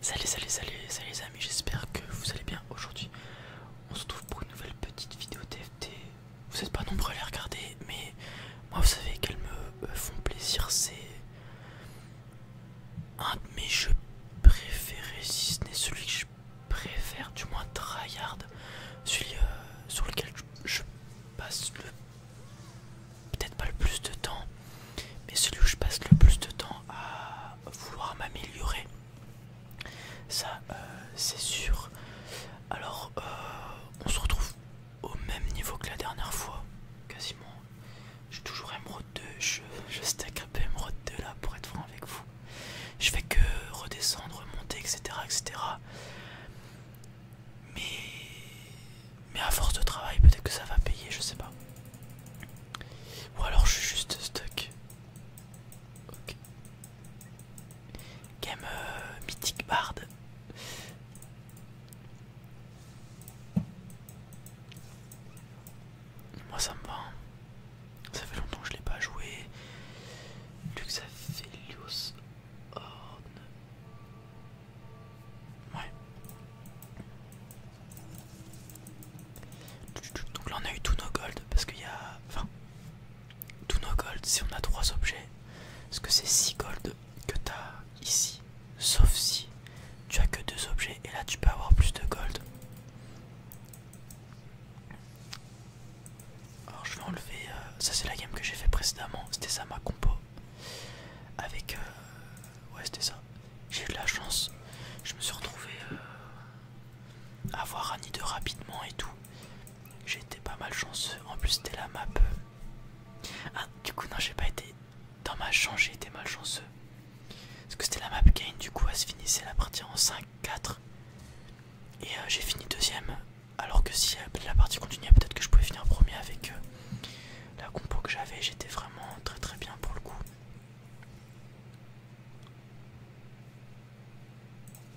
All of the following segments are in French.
Salut, salut, salut, salut les amis, j'espère que vous allez bien aujourd'hui. On se retrouve pour une nouvelle petite vidéo TFT. Vous n'êtes pas nombreux à les regarder, mais moi vous savez qu'elles me euh, font plaisir. C'est un de mes jeux préférés, si ce n'est celui que je préfère, du moins tryhard, celui euh, sur lequel je passe le peut-être pas le plus de temps mais celui où je passe le plus de temps à vouloir m'améliorer. Ça, euh, c'est sûr. Alors, euh, on se retrouve au même niveau que la dernière fois, quasiment. J'ai toujours émeraude 2, je, stack un peu 2 là pour être franc avec vous. Je fais que redescendre, monter, etc. etc. Mais, mais à force de travail, peut-être que ça va payer, je sais pas. Ou alors je suis juste stuck. Ok. Game euh, Mythic bard. Moi ça me va. Hein. Ça fait longtemps que je l'ai pas joué. Luxafilius Horn. Ouais. Donc là on a eu tous nos gold parce qu'il y a... Enfin, tous nos gold si on a trois objets. Parce que c'est 6 gold que t'as ici. Sauf si tu as que deux objets et là tu peux avoir plus de gold. Alors je vais enlever... Euh, ça c'est la game que j'ai fait précédemment. C'était ça ma compo. Avec... Euh, ouais c'était ça. J'ai eu de la chance. Je me suis retrouvé euh, à avoir un nid de rapidement et tout. J'étais pas mal chanceux. En plus, c'était la map. Ah, du coup, non, j'ai pas été. Dans ma chance, j'ai été chanceux. Parce que c'était la map gain, du coup, elle se finissait la partie en 5-4. Et euh, j'ai fini deuxième. Alors que si euh, la partie continuait, peut-être que je pouvais finir premier avec la compo que j'avais. J'étais vraiment très très bien pour le coup.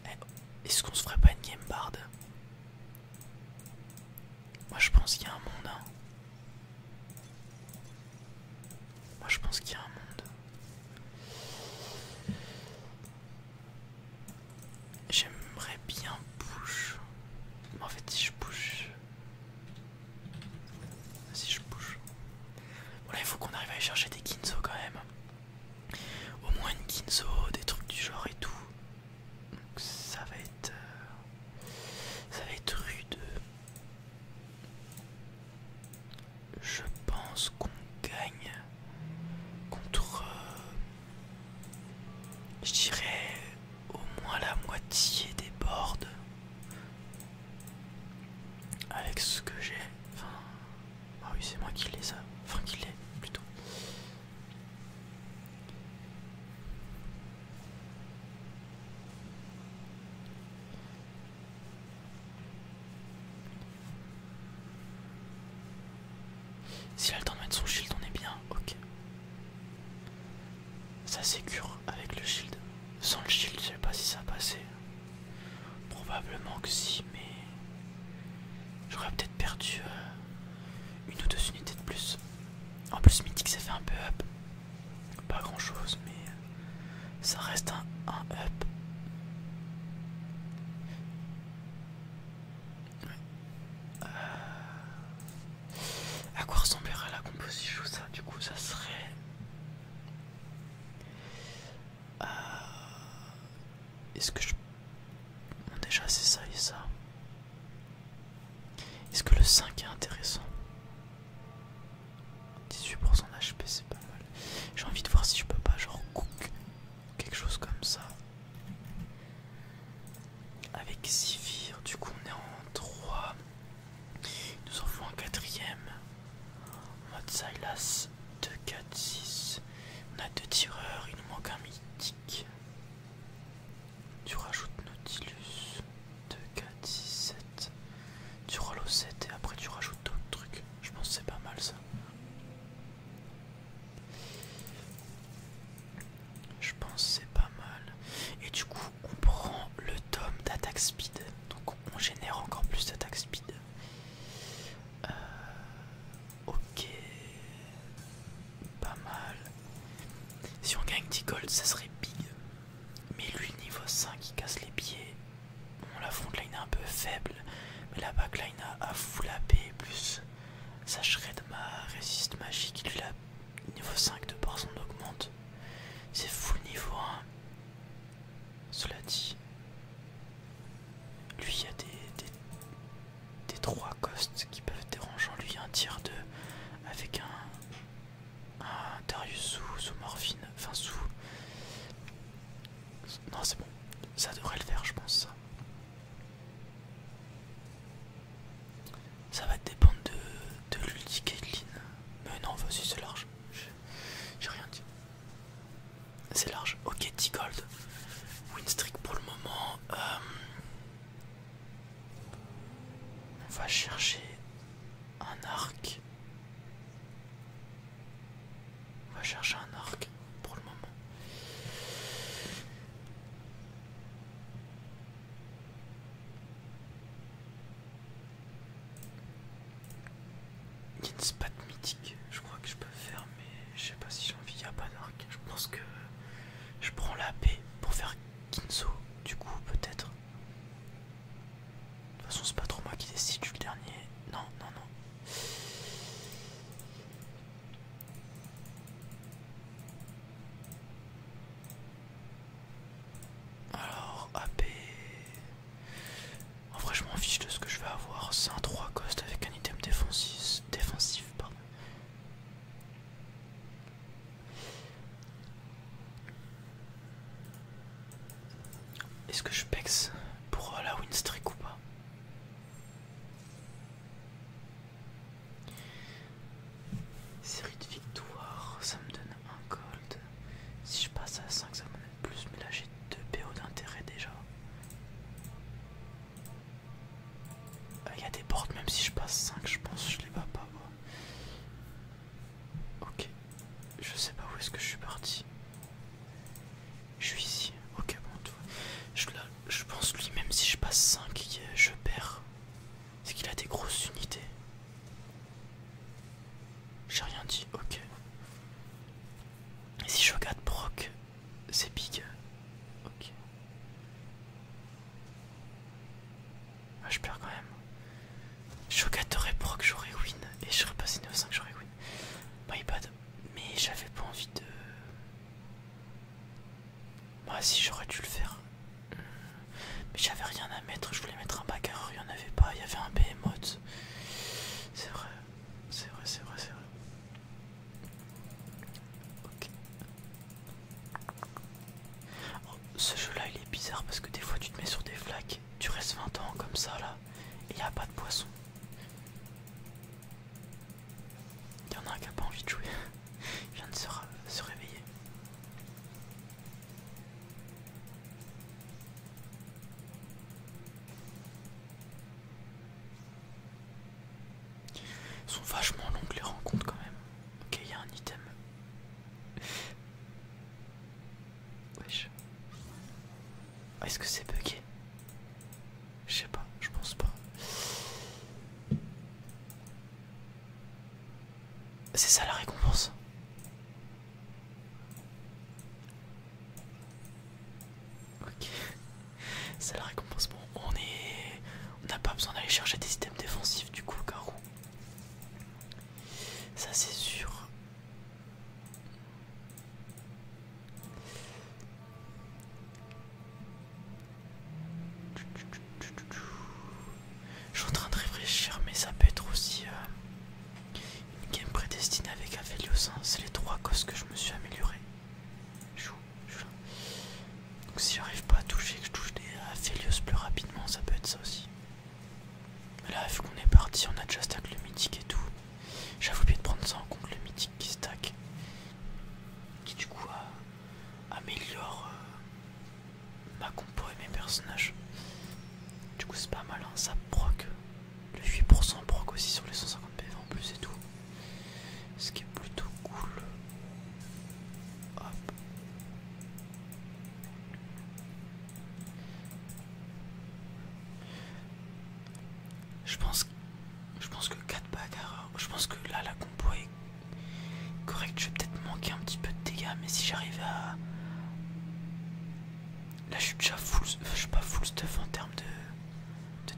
Eh, est-ce qu'on se ferait pas une game bard Moi je pense qu'il y a un monde. Hein. Moi je pense qu'il y a un monde. J'aimerais bien bouge. en fait si je bouge... Si je bouge. Voilà, il faut qu'on arrive à aller chercher des Kinzo quand même. Au moins une Kinzo, des trucs du genre et tout. Donc ça va être. Euh, ça va être rude. Je pense qu'on gagne contre. Euh, je dirais au moins la moitié des boards avec ce que j'ai. Enfin, ah oui, c'est moi qui l'ai ça. Enfin, qui l'ai plutôt. S'il a le temps de mettre son shield, on est bien. Ok. Ça sécure avec le shield. Sans le shield, je sais pas si ça passait. Probablement que si, mais j'aurais peut-être perdu euh, une ou deux unités de plus. En plus, mythique, ça fait un peu up. Pas grand chose, mais ça reste un, up. Euh, à quoi ressemblerait la composition ça Du coup, ça serait. Euh, est-ce que je... Bon, déjà c'est ça et ça. Est-ce que le 5 est intéressant 18% d'HP c'est pas mal. J'ai envie de voir si je peux pas genre cook quelque chose comme ça. Avec Sivir, du coup on est en 3. Il nous en faut un quatrième. En mode Silas 2, 4, 6. On a deux tireurs, il nous manque un mythique. Tu rajoutes Nautilus 2, 4, 6, 7. Tu rolls au 7 et après tu rajoutes d'autres trucs. Je pense que c'est pas mal ça. Je pense c'est pas mal. Et du coup, on prend le tome d'attaque speed, donc on génère encore plus d'attaque speed. Euh, ok, pas mal. Si on gagne 10 gold, ça serait big. Mais lui, niveau 5, il casse les pieds. Bon, la frontline est un peu faible, mais la backline a, full AP plus sa de ma résiste magique. Il a niveau 5 de par augmente. C'est full niveau 1. Cela dit, lui il y a des, trois costes qui peuvent être en Lui un tiers 2 avec un, Darius sous, morphine, enfin sous... Non c'est bon, ça devrait le faire je pense ça. va dépendre de, de l'ulti Mais non, vas-y, c'est large. J'ai rien dit. C'est large. Ok, T gold. Winstrik pour le moment. Euh, on va chercher un arc. On va chercher un arc pour le moment. Il mythique, je crois que je peux faire, mais je sais pas si j'ai envie. à pas Je pense que je prends la P pour faire Kinzo, du coup, peut-être. De toute façon, c'est pas trop moi qui décide, le dernier. Non, non, non. Alors, AP. En oh, vrai, je m'en fiche de ce que je vais avoir. C'est un 3 cost avec un item défensif. défensif Est-ce que je pex pour euh, la win streak ou pas Série de victoires, ça me donne un gold. Si je passe à 5, ça me donne plus, mais là j'ai 2 PO d'intérêt déjà. Il euh, y a des portes, même si je passe 5, je pense que je les bats pas. Ok, je sais pas où est-ce que je suis parti. Je suis ici, ok, bon, Je, je pense lui, même si je passe 5, je perds. C'est qu'il a des grosses unités. J'ai rien dit, ok. Et si je proc, c'est big. Ok. Ah, je perds quand même. Shogat aurait proc, j'aurais win. Et je serais passé niveau 5, j'aurais win. Mais j'avais pas envie de. Bah si j'aurais dû le faire. Hmm. Mais j'avais rien à mettre. Je voulais mettre un bagarre, il y en avait pas. Il y avait un behemoth. C'est vrai, c'est vrai, c'est vrai, c'est vrai. Ok. Oh, ce jeu là il est bizarre parce que des fois tu te mets sur des flaques, tu restes 20 ans comme ça là, et il n'y a pas de poisson. Il y en a un qui n'a pas envie de jouer, il vient de se réveiller. Ils sont vachement longues les rencontres quand même. Ok, il y a un item. Wesh. Est-ce que c'est bugué Je sais pas, je pense pas. C'est ça la récompense Ok. C'est la récompense. Bon, on est. On n'a pas besoin d'aller chercher des systèmes défensifs du coup, Garou. Ça c'est sûr. Je suis en train de réfléchir, mais ça peut être aussi. Euh, une game prédestinée avec Aphelios, c'est les trois causes que je me suis amélioré. Donc si j'arrive pas à toucher, que je touche des Aphelios plus rapidement, ça peut être ça aussi. Mais là, vu qu'on est parti, on a déjà stack le mythique et tout. J'avoue bien de prendre ça en compte, le mythique qui stack. Qui du coup améliore euh, ma compo et mes personnages. Du coup c'est pas mal, hein, ça proc le 8% proc aussi sur les 150 PV en plus et tout. Ce qui est plutôt cool. Hop. Je pense, je pense que 4 bagarres. Je pense que là la compo est correcte. Je vais peut-être manquer un petit peu de dégâts, mais si j'arrive à Là je suis déjà full, pas full stuff en termes de,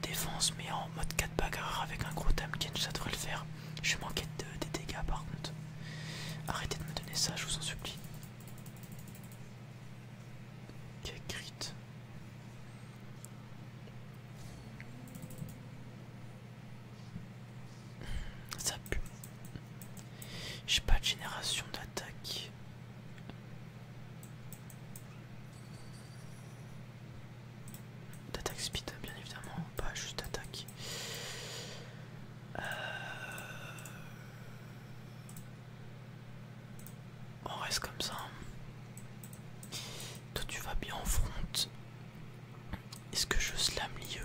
défense mais en mode 4 bagarre avec un gros Tamken ça devrait le faire. Je manquais de, des dégâts par contre. Arrêtez de me donner ça, je vous en supplie. Quel crit. Ça pue. J'ai pas de génération d'attaque. D'attaque speed, bien évidemment, pas juste attaque. Euh, on reste comme ça. Toi, tu vas bien en front. Est-ce que je slam lieu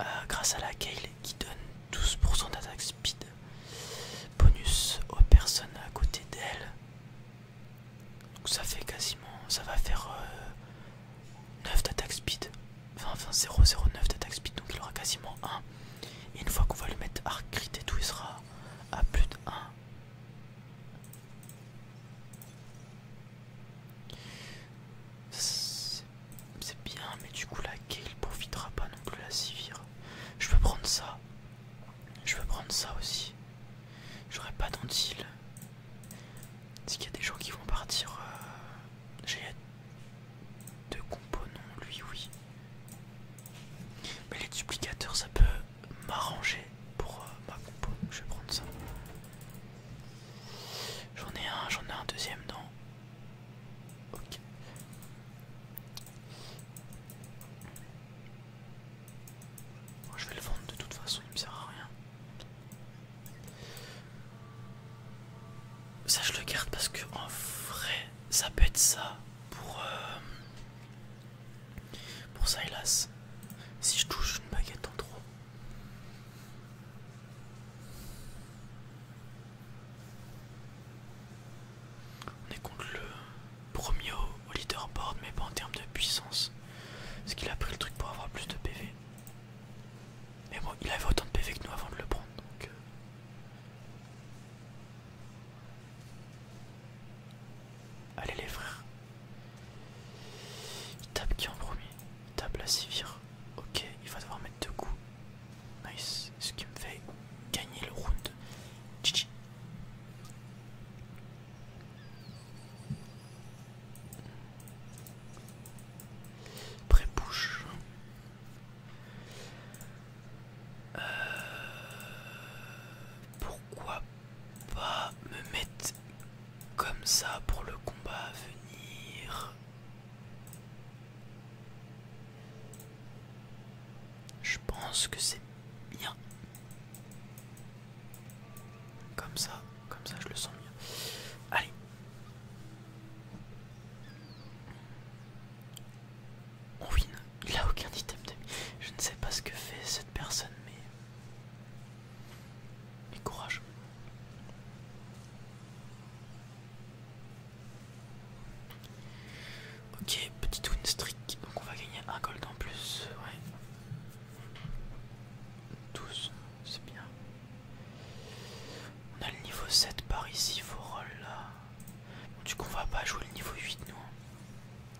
Euh, grâce à la kale qui donne 12% d'attaque speed bonus aux personnes à côté d'elle. Donc ça fait quasiment, ça va faire 9 euh, d'attaque speed, enfin, enfin 0,09 d'attaque speed, donc il aura quasiment 1. Et une fois qu'on va le mettre arc crit et tout, il sera à plus de 1 c'est bien, mais du coup la ne profitera pas non plus la Sivir. Je peux prendre ça. Je peux prendre ça aussi. J'aurais pas d'Antilles. est qu'il y a des gens qui vont partir euh, J'ai deux non lui oui. Mais les duplicateurs ça peut m'arranger pour euh, ma compo. Je vais prendre ça. J'en ai un, j'en ai un deuxième dans Ok. je vais le vendre de toute façon, il me sert à rien. Ça je le garde parce que en vrai ça peut être ça pour pour euh, pour Silas si je touche une baguette en trop on est contre le premier au, leaderboard, mais pas en termes de puissance. Parce qu'il a pris le truc pour avoir plus de PV. Mais bon, il avait autant de PV que nous avant de le prendre, euh. Allez les frères. tape qui en premier Il tape la civire. Ok, il va devoir mettre deux coups. Nice, ce qui me fait gagner le round. GG. bouche. Euh, pourquoi pas me mettre comme ça pour le combat à venir je pense que c'est bien. Comme ça, comme ça je le sens bien Allez. On win. Il a aucun item de Je ne sais pas ce que fait cette personne, mais... Mais courage. Ok, petit win streak, donc on va gagner un gold en plus, ouais. 12, c'est bien. On a le niveau 7 par ici, faut roll là. du coup, on va pas jouer le niveau 8, nous. Hein.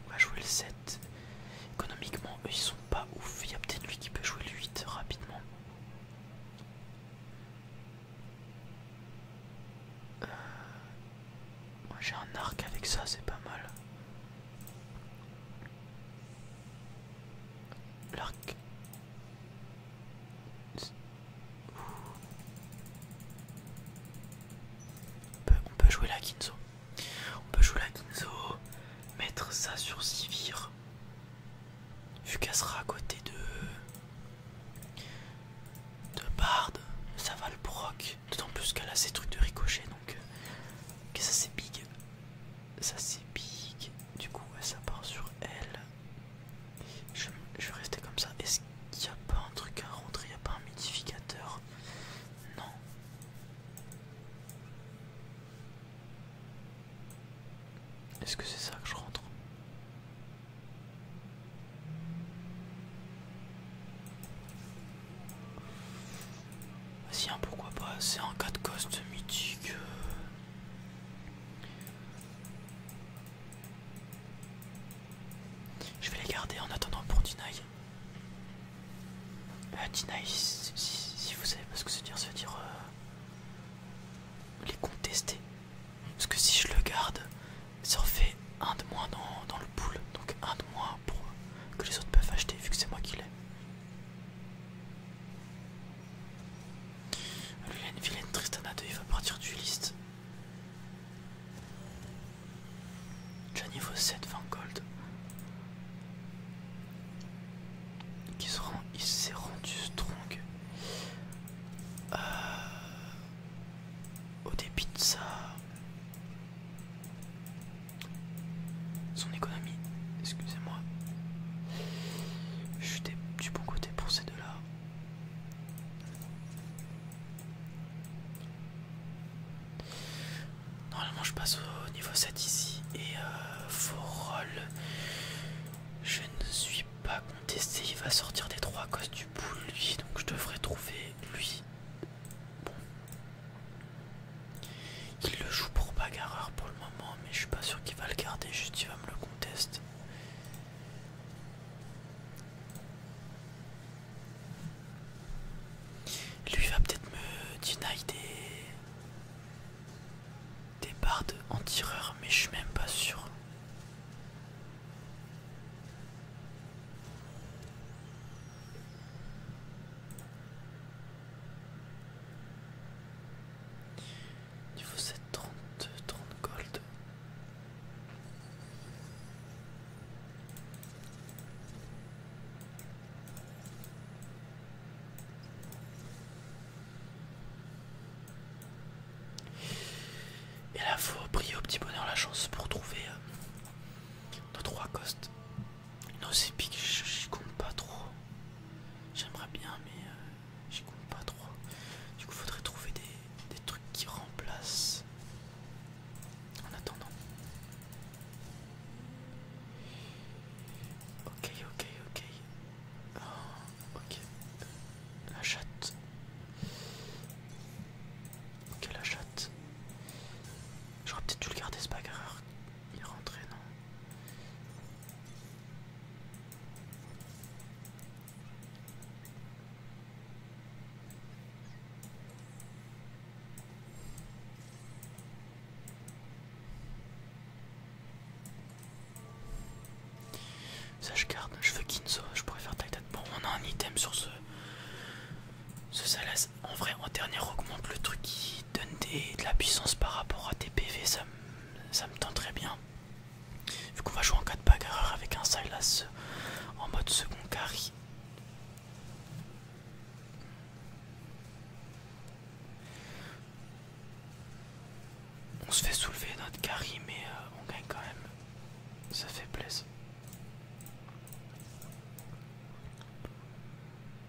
On va jouer le 7. Économiquement, eux ils sont pas ouf. Il y a peut-être lui qui peut jouer le 8 rapidement. Moi j'ai un arc avec ça, c'est pas mal. L'arc. On peut jouer la Kinzo. On peut jouer la Kinzo, mettre ça sur Sivir. Vu qu'elle sera à côté de. de Bard, ça va le proc. D'autant plus qu'elle a ses trucs de ricochet donc. Euh, que ça c'est big. Ça c'est big. Du coup, ça part sur elle. Je, je vais rester comme ça. Est-ce qu'il n'y a pas un truc à rentrer Il n'y a pas un modificateur Non. Est-ce que c'est ça que je rentre ah, Si, hein, pourquoi pas C'est un cas de cost mythique. Euh. Je vais les garder en attendant pour Deny. Euh, Deny, si, vous savez pas ce que ça veut dire, ça veut dire euh, les contester. Parce que si je le garde, ça en fait un de moins dans, le pool. Donc un de moins pour que les autres peuvent acheter vu que c'est moi qui l'ai. Lui il a une vilaine Tristana 2, il va partir du liste. Déjà niveau 7, 20 gold. Il s'est rendu strong. Euh, au dépit de ça, son économie, excusez-moi, je suis pour ces deux là. Normalement je passe au niveau 7 ici et euh, je ne suis pas il il va sortir des trois à du boule, lui, donc je devrais trouver lui. Bon. Il le joue pour bagarreur pour le moment, mais je suis pas sûr qu'il va le garder, juste il va me le contester. Lui va peut-être me deny des bardes en tireur, mais je suis même pas sûr. Niveau 7, 30, 30 gold. Et là, faut prier au petit bonheur la chance pour trouver euh, nos trois costes. Nos épiques, j'y compte pas trop. J'aimerais bien, mais euh, j'y compte pas trop. Du coup, faudrait trouver des, des trucs qui remplacent. En attendant. Ok, ok, ok. Oh. Ok. La chatte. Ok, la chatte. J'aurais peut-être dû le garder, ce bagarreur. Il est rentré, non ça je garde, je veux Kinzo, je pourrais faire Titan. Bon on a un item sur ce... Ce Salas. En vrai en dernier augmente le truc qui donne de la puissance par rapport à tes PV, ça, me tend très bien. Vu qu'on va jouer en cas de bagarreur avec un Salas en mode second carry. On se fait soulever notre carry, mais euh, on gagne quand même. Ça fait plaisir.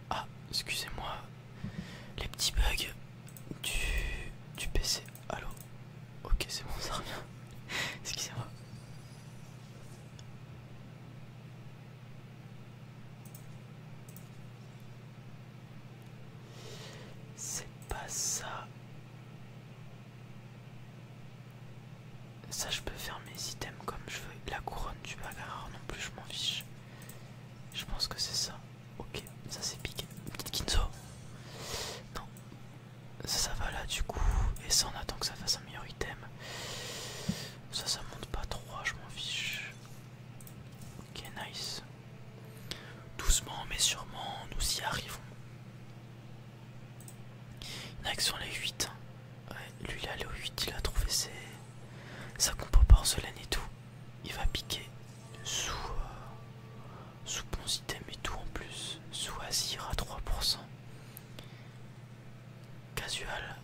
Ah, excusez-moi. Les petits bugs du, du PC. Allo Ok, c'est bon, ça revient. excusez-moi. C'est pas ça. Ça, je peux faire mes items comme je veux. La couronne du bagarre non plus, je m'en fiche. Je pense que c'est ça. Ok, ça c'est piqué. Petite Kinzo. Non. Ça, va là du coup. Et ça, on attend que ça fasse un meilleur item. Ça, ça monte pas trop je m'en fiche. Ok, nice. Doucement mais sûrement, nous y arrivons. next action les 8. lui il est allé 8, il a trouvé ses... sa compo porcelaine et tout. Il va piquer sous... bons euh, sous et tout en plus. Sous Azir à 3%. Casual.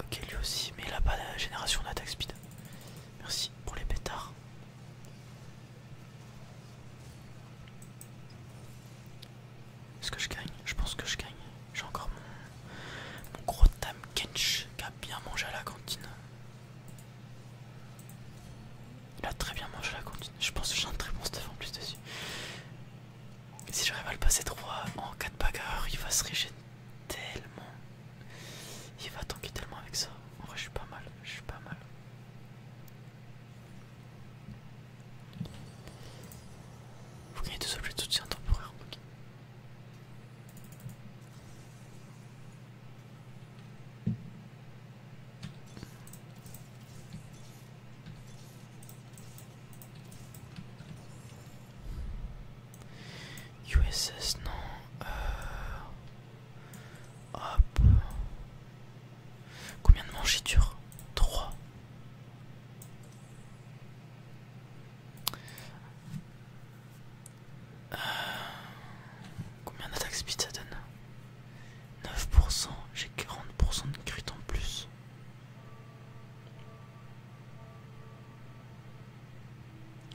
Ok lui aussi, mais il n'a pas la génération d'attaque speed. Merci pour les pétards. Est-ce que je gagne Je pense que je gagne. J'ai encore mon, gros Tam Kench qui a bien mangé à la cantine. Il a très bien mangé à la cantine. Je pense que j'ai un très bon stuff en plus dessus. Si j'arrive à le passer 3 en 4 bagarres, il va se régénérer tellement. Il va tanker tellement avec ça. En vrai, je suis pas mal. Je suis pas mal. Vous gagnez deux objets de soutien temporaire, ok. USS non. Euh, Hop. Combien de manches 3. Euh, combien d'attaque speed ça donne 9%, j'ai 40% de crit en plus.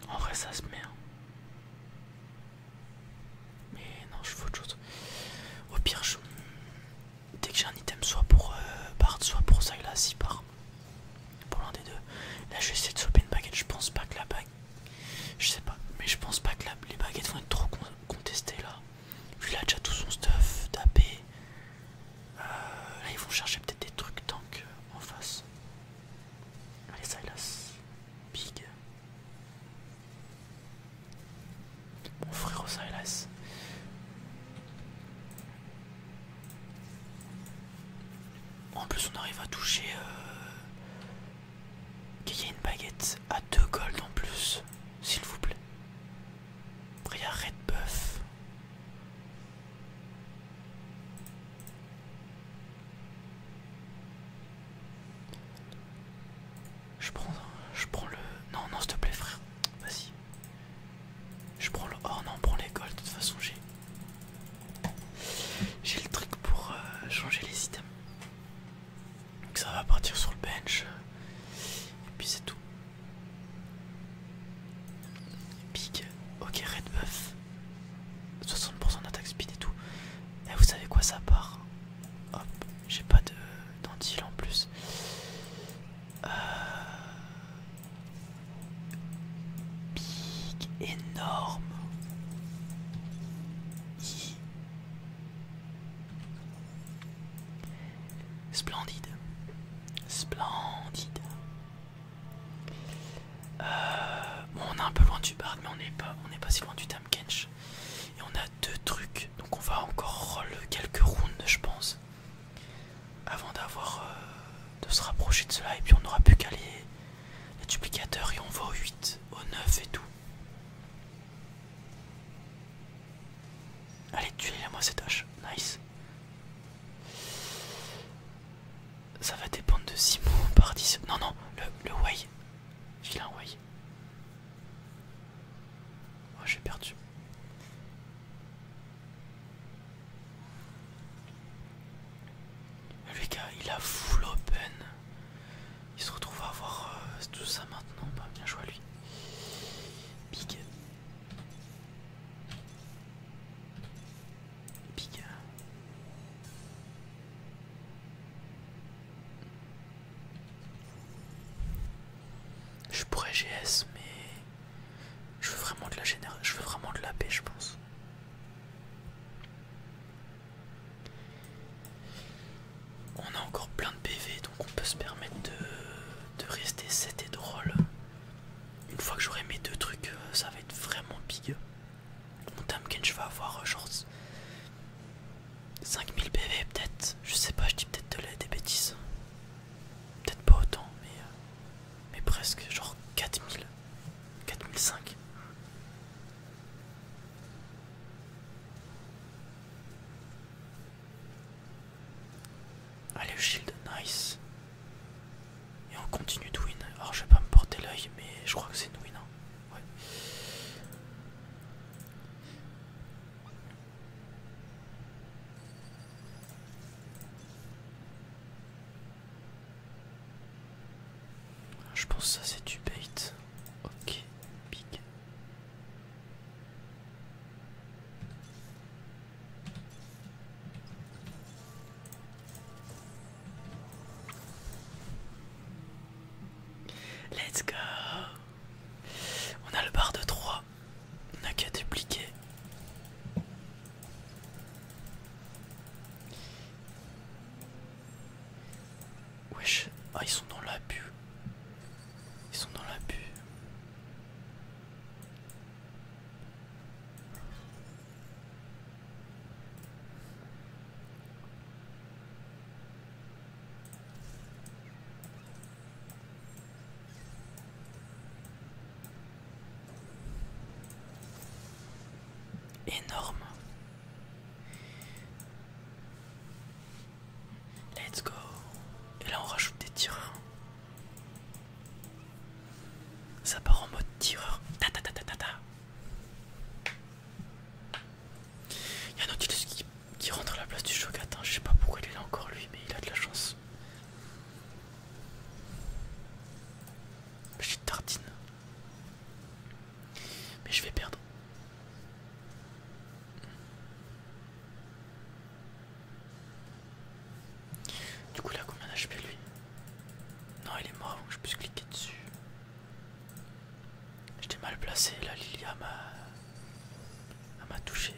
En vrai ça se met. Hein. Mais non, je fais autre chose. Au pire, dès que j'ai un item, soit pour Bart euh, soit pour Silas, il par. Pour l'un des deux. Là, je vais essayer de sauver une baguette. Je pense pas que la baguette Je sais pas, mais je pense pas que les baguettes vont être trop contestées là. Vu qu'il a déjà tout son stuff tapé. Euh, là, ils vont chercher peut-être des trucs tank euh, en face. Allez, Silas. Big. Mon frère hélas En plus on arrive à toucher euh, qu'il y ait une baguette à deux gold en plus, s'il vous plaît. Après Red Buff. Je prends, je prends le. Non, non, s'il te plaît, frère. Vas-y. Je prends le. Oh non, prends l'école De toute façon, j'ai. J'ai le truc pour euh, changer les items. Donc ça va partir sur le bench. Et puis c'est tout. Big. Ok, red buff. 60% d'attaque speed et tout. Et eh, vous savez quoi, ça part Hop, j'ai pas de dentille en plus. Euh... énorme. Splendide. Splendide. Euh, bon, on est un peu loin du bar, mais on n'est pas, on est pas si loin du thème. Kench. Et on a deux trucs, donc on va encore le quelques rounds, je pense, avant d'avoir euh, de se rapprocher de cela. Et puis on n'aura plus qu'à les, les duplicateurs et on va au 8, au 9 et tout. Allez, tuez-moi cette hache, nice. Ça va dépendre de mots par 10. Non, non, le, le way. filin way. Ah, j'ai perdu. Les il a full open. Il se retrouve à avoir euh, tout ça maintenant. Pas bah, bien joué lui. Big. Big. Je pourrais GS mais je veux vraiment de la je veux vraiment de la paix je pense. On a encore plein de PV donc on peut se permettre de, de rester 7 et drôle. Une fois que j'aurai mes deux trucs euh, ça va être vraiment big. Mon je vais avoir euh, genre 5000 PV peut-être, je sais pas, je dis peut-être de des bêtises. Peut-être pas autant, mais, euh, mais presque, genre 4000, 4005. Allez, shield, nice. Et on continue de win. Alors, je vais pas me porter l'œil, mais je crois que c'est une win. Hein. Je pense ça c'est du bait. Ok, big. Let's go On a le bar de 3. On n'a qu'à dupliquer. Wesh, ah ils sont dans l'abus. Ils sont dans l'abus. Énorme. Let's go. Et là on rajoute des tireurs. Ça part en mode tireur. Ta ta ta ta ta ta. Il y a un qui qui rentre à la place du Shogatin. Hein. Je sais pas pourquoi il est encore lui, mais il a de la chance. J'ai tartine. Mais je vais perdre. Du coup là combien d'HP lui Non il est mort avant que je puisse cliquer dessus. J'étais mal placé, la Lilia m'a touché.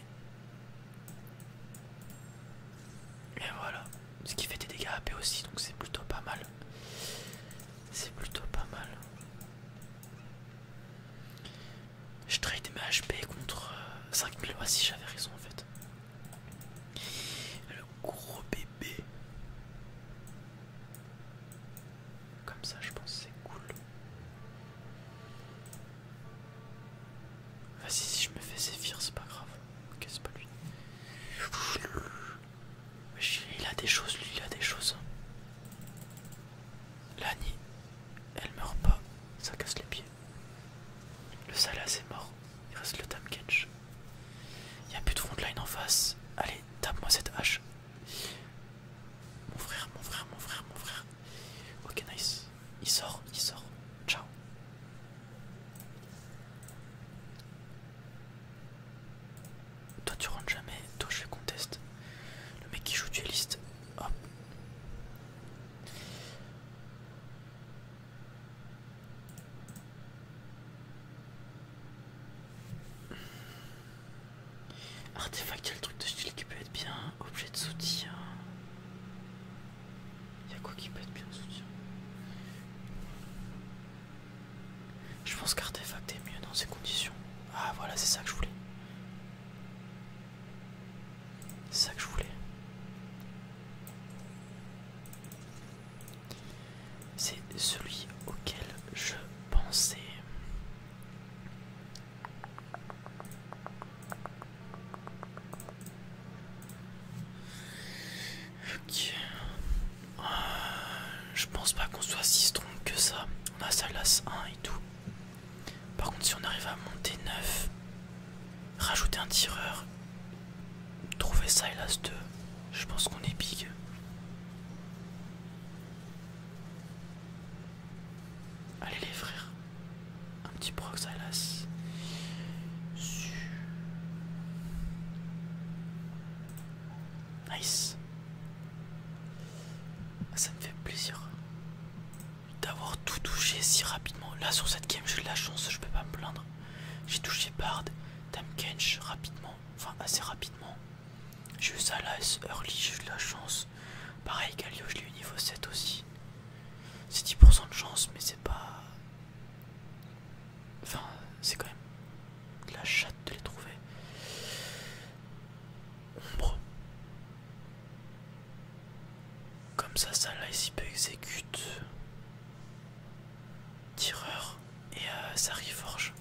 Et voilà, ce qui fait des dégâts AP aussi, donc c'est plutôt pas mal. C'est plutôt pas mal. Je trade mes HP contre 5000 euh, voici ah, si j'avais raison en fait. Le gros bébé. Comme ça, je pense c'est cool. Vas-y, si je me fais sévir, c'est pas grave. Ok, c'est pas lui. Il a des choses, lui, il a des choses. Hein. L'Annie, elle meurt pas, ça casse les pieds. Le Salas est mort, il reste le Tam Il y a plus de frontline en face. Allez, tape-moi cette hache. Mon frère, mon frère, mon frère, mon frère. Ok, nice. Il sort, il sort. Ciao. Toi tu rentres jamais, toi je fais conteste. Le mec qui joue dueliste. Hop. Artefact, il y a le truc de style qui peut être bien. Objet de soutien. Il quoi qui peut être bien soutien Je pense qu'artefact est mieux dans ces conditions. Ah voilà, c'est ça que je voulais. C'est ça que je voulais. C'est celui auquel je pensais. Ok. je pense pas qu'on soit si strong que ça. On a Sylas 1 et tout. Par contre, si on arrive à monter 9, rajouter un tireur, trouver Silas 2, je pense qu'on est big. Allez les frères, un petit l'as. Nice. Ah, ça me fait plaisir d'avoir tout touché si rapidement. Là sur cette game j'ai de la chance, je peux pas me plaindre. J'ai touché Bard, Dame rapidement, enfin assez rapidement. J'ai eu ça là, early, j'ai eu de la chance. Pareil, Galio, je l'ai eu niveau 7 aussi. C'est 10% de chance, mais c'est pas. Enfin, c'est quand même de la chatte de les trouver. Ombre. Comme ça, ça là, ici peut exécute. Tireur et euh, ça reforge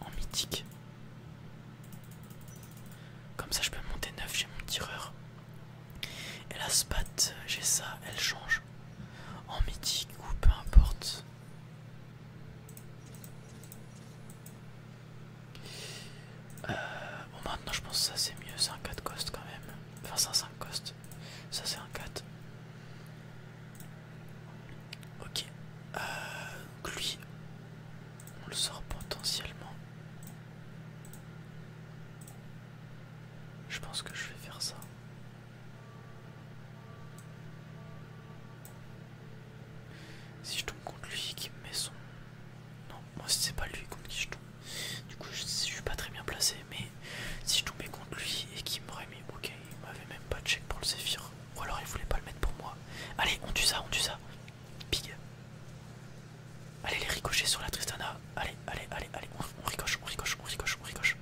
en mythique. Comme ça je peux monter 9, j'ai mon tireur. Et la spat, j'ai ça, elle change. En mythique ou peu importe. Euh, bon maintenant je pense que ça c'est mieux, c'est un 4 cost quand même. Enfin c'est un 5 cost. Ça c'est un 4. Ok. Euh, lui, on le sort potentiellement. Je pense que je vais faire ça. Si je tombe contre lui qui me met son... Non, moi c'est pas lui contre qui je tombe. Du coup je, suis pas très bien placé, mais si je tombais contre lui et qu'il m'aurait mis... Ok, il m'avait même pas de check pour le Zephyr. Ou alors il voulait pas le mettre pour moi. Allez, on tue ça, on tue ça. Big Allez, les ricochets sur la Tristana. Allez, allez, allez, allez. On, ricoche, on ricoche, on ricoche, on ricoche.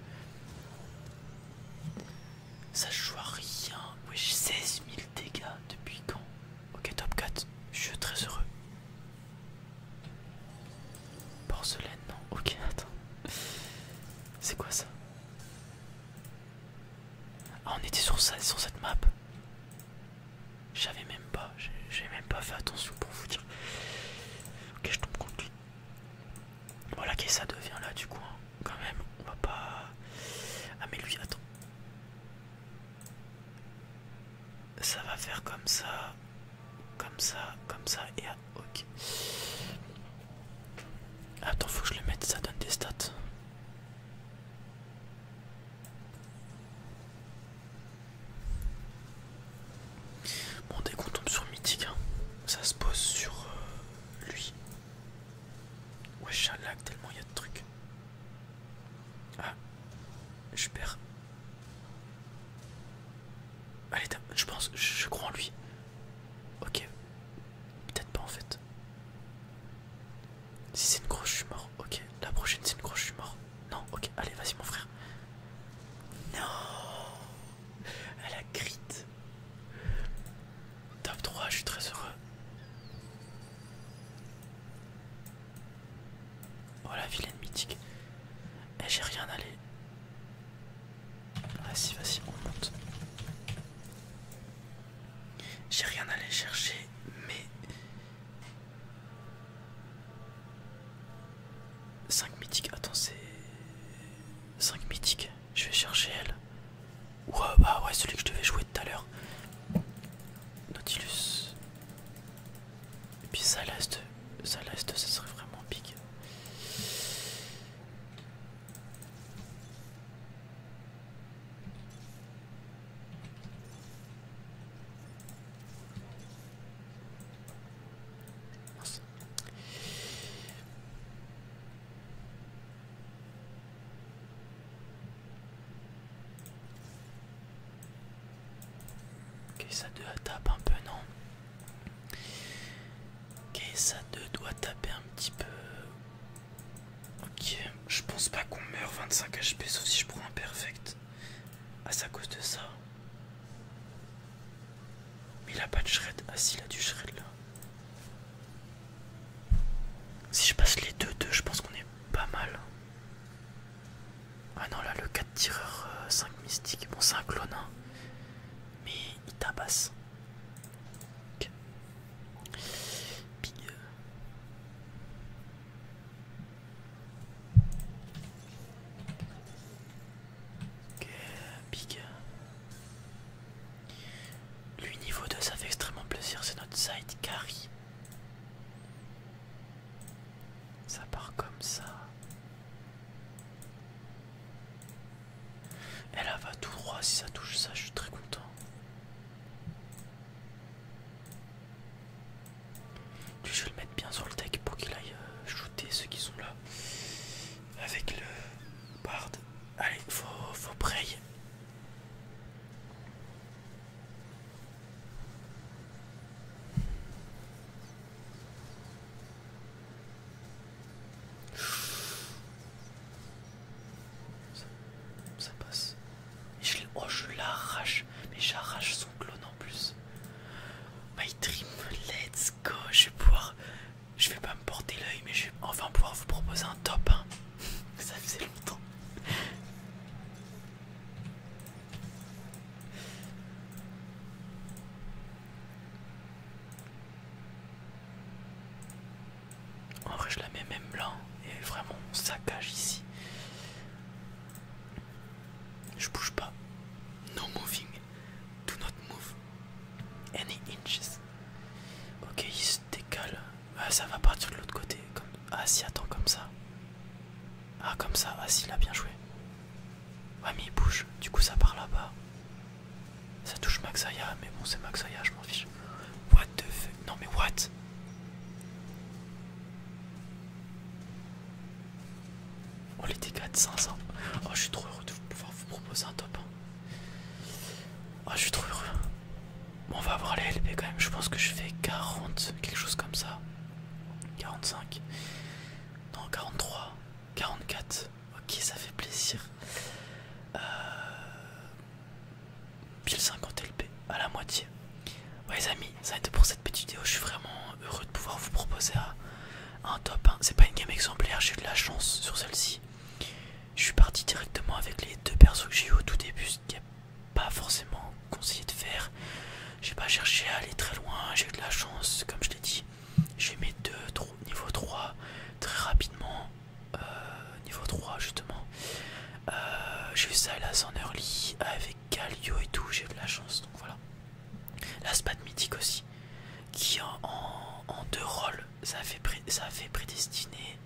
Ça joue à rien. Oui, 16 000 dégâts depuis quand Ok, top 4. Je suis très heureux. Porcelaine, non. Ok, attends. C'est quoi ça Ah, on était sur ça, sur cette map. J'avais même pas, j'ai même pas fait attention pour vous dire. Ok, je tombe contre Voilà, qui ça devient là du coup. Hein. Quand même, on va pas. Ah, mais lui, attends. Ça va faire comme ça, comme ça, comme ça, et ah, ok. Attends, faut que je le mette, ça donne des stats. Bon, dès qu'on tombe sur Mythique, hein, ça se pose sur euh, lui. Wesh, ouais, lac tellement il y a de trucs. Ah, je perds. Allez, je pense, je crois en lui. Ok, peut-être pas en fait. Si c'est une grosse, je suis mort. Ok, la prochaine c'est une grosse, je suis mort. Non, ok, allez, vas-y, mon frère. Non, elle a crit. Top 3, je suis très heureux. Oh la vilaine mythique. Eh, j'ai rien à aller... Vas-y, vas-y, on monte. J'ai rien à aller chercher, mais 5 mythiques, attends c'est... 5 mythiques, je vais chercher elle. Ouais bah ouais celui que je devais jouer tout à l'heure. Nautilus. Et puis ça l'est, ça l'est, ça serait vraiment pique. Que ça doit taper un peu, non Que ça doit taper un petit peu. Ok, je pense pas qu'on meurt 25 HP sauf si je prends un perfect. Ah, c'est à cause de ça. Mais il a pas de shred. Ah, si, il a du shred là. Si je passe les deux, deux, je pense qu'on est pas mal. Ah non, là, le 4 tireur 5 euh, mystique. Bon, c'est un clone, hein. mais il tabasse. Ok. Big. Ok, big. Lui niveau 2 ça fait extrêmement plaisir, c'est notre side carry. Ça part comme ça. Elle va tout droit, si ça touche ça, je suis très content. Je vais le mettre bien sur le deck pour qu'il aille euh, shooter ceux qui sont là. Avec le bard. Allez, il faut prey ça passe oh, je l'arrache. Mais j'arrache son clone en plus. My dream, let's go. Je vais pouvoir. Je vais pas me porter l'œil, mais je vais enfin pouvoir vous proposer un top. Ça faisait longtemps. En vrai, je la mets même blanc Et vraiment, on saccage ici. Je bouge pas. No moving. Do not move. Any inches. Ok, il se décale. Ah, ça va partir de l'autre côté. Ah, si, attends, comme ça. Ah, comme ça. Ah, si, il a bien joué. Ouais, mais il bouge. Du coup, ça part là-bas. Ça touche Maxaya, mais bon, c'est Maxaya, je m'en fiche. What the fuck? Non, mais what? Oh les dégâts de 500. Oh je suis trop heureux de pouvoir vous proposer un top. Oh je suis trop heureux. Bon, on va voir les LP quand même. Je pense que je fais 40, quelque chose comme ça. 45. Non 43. 44. Ok ça fait plaisir. Euh pile 50 LP à la moitié. Ouais les amis, ça a été pour cette petite vidéo, je suis vraiment heureux de pouvoir vous proposer un top 1. C'est pas une game exemplaire, j'ai eu de la chance sur celle-ci. Je suis parti directement avec les deux persos que j'ai eu au tout début, ce qui n'est pas forcément conseillé de faire. J'ai pas cherché à aller très loin, j'ai eu de la chance, comme je l'ai dit. J'ai mis deux niveau 3 très rapidement. Euh, niveau 3 justement. Euh, j'ai fait ça là en early avec Galio et tout, j'ai de la chance, donc voilà. La Spade mythique aussi, qui en, deux rôles, ça a, fait ça fait prédestiné,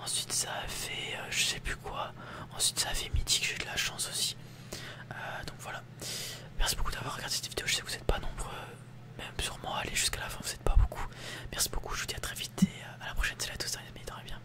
ensuite ça a fait je sais plus quoi, ensuite ça a fait mythique, j'ai de la chance aussi. donc voilà, merci beaucoup d'avoir regardé cette vidéo, je sais que vous n'êtes pas nombreux, même sûrement allez jusqu'à la fin, vous n'êtes pas beaucoup. Merci beaucoup, je vous dis à très vite et à la prochaine, c'est la tous, les amis, bien.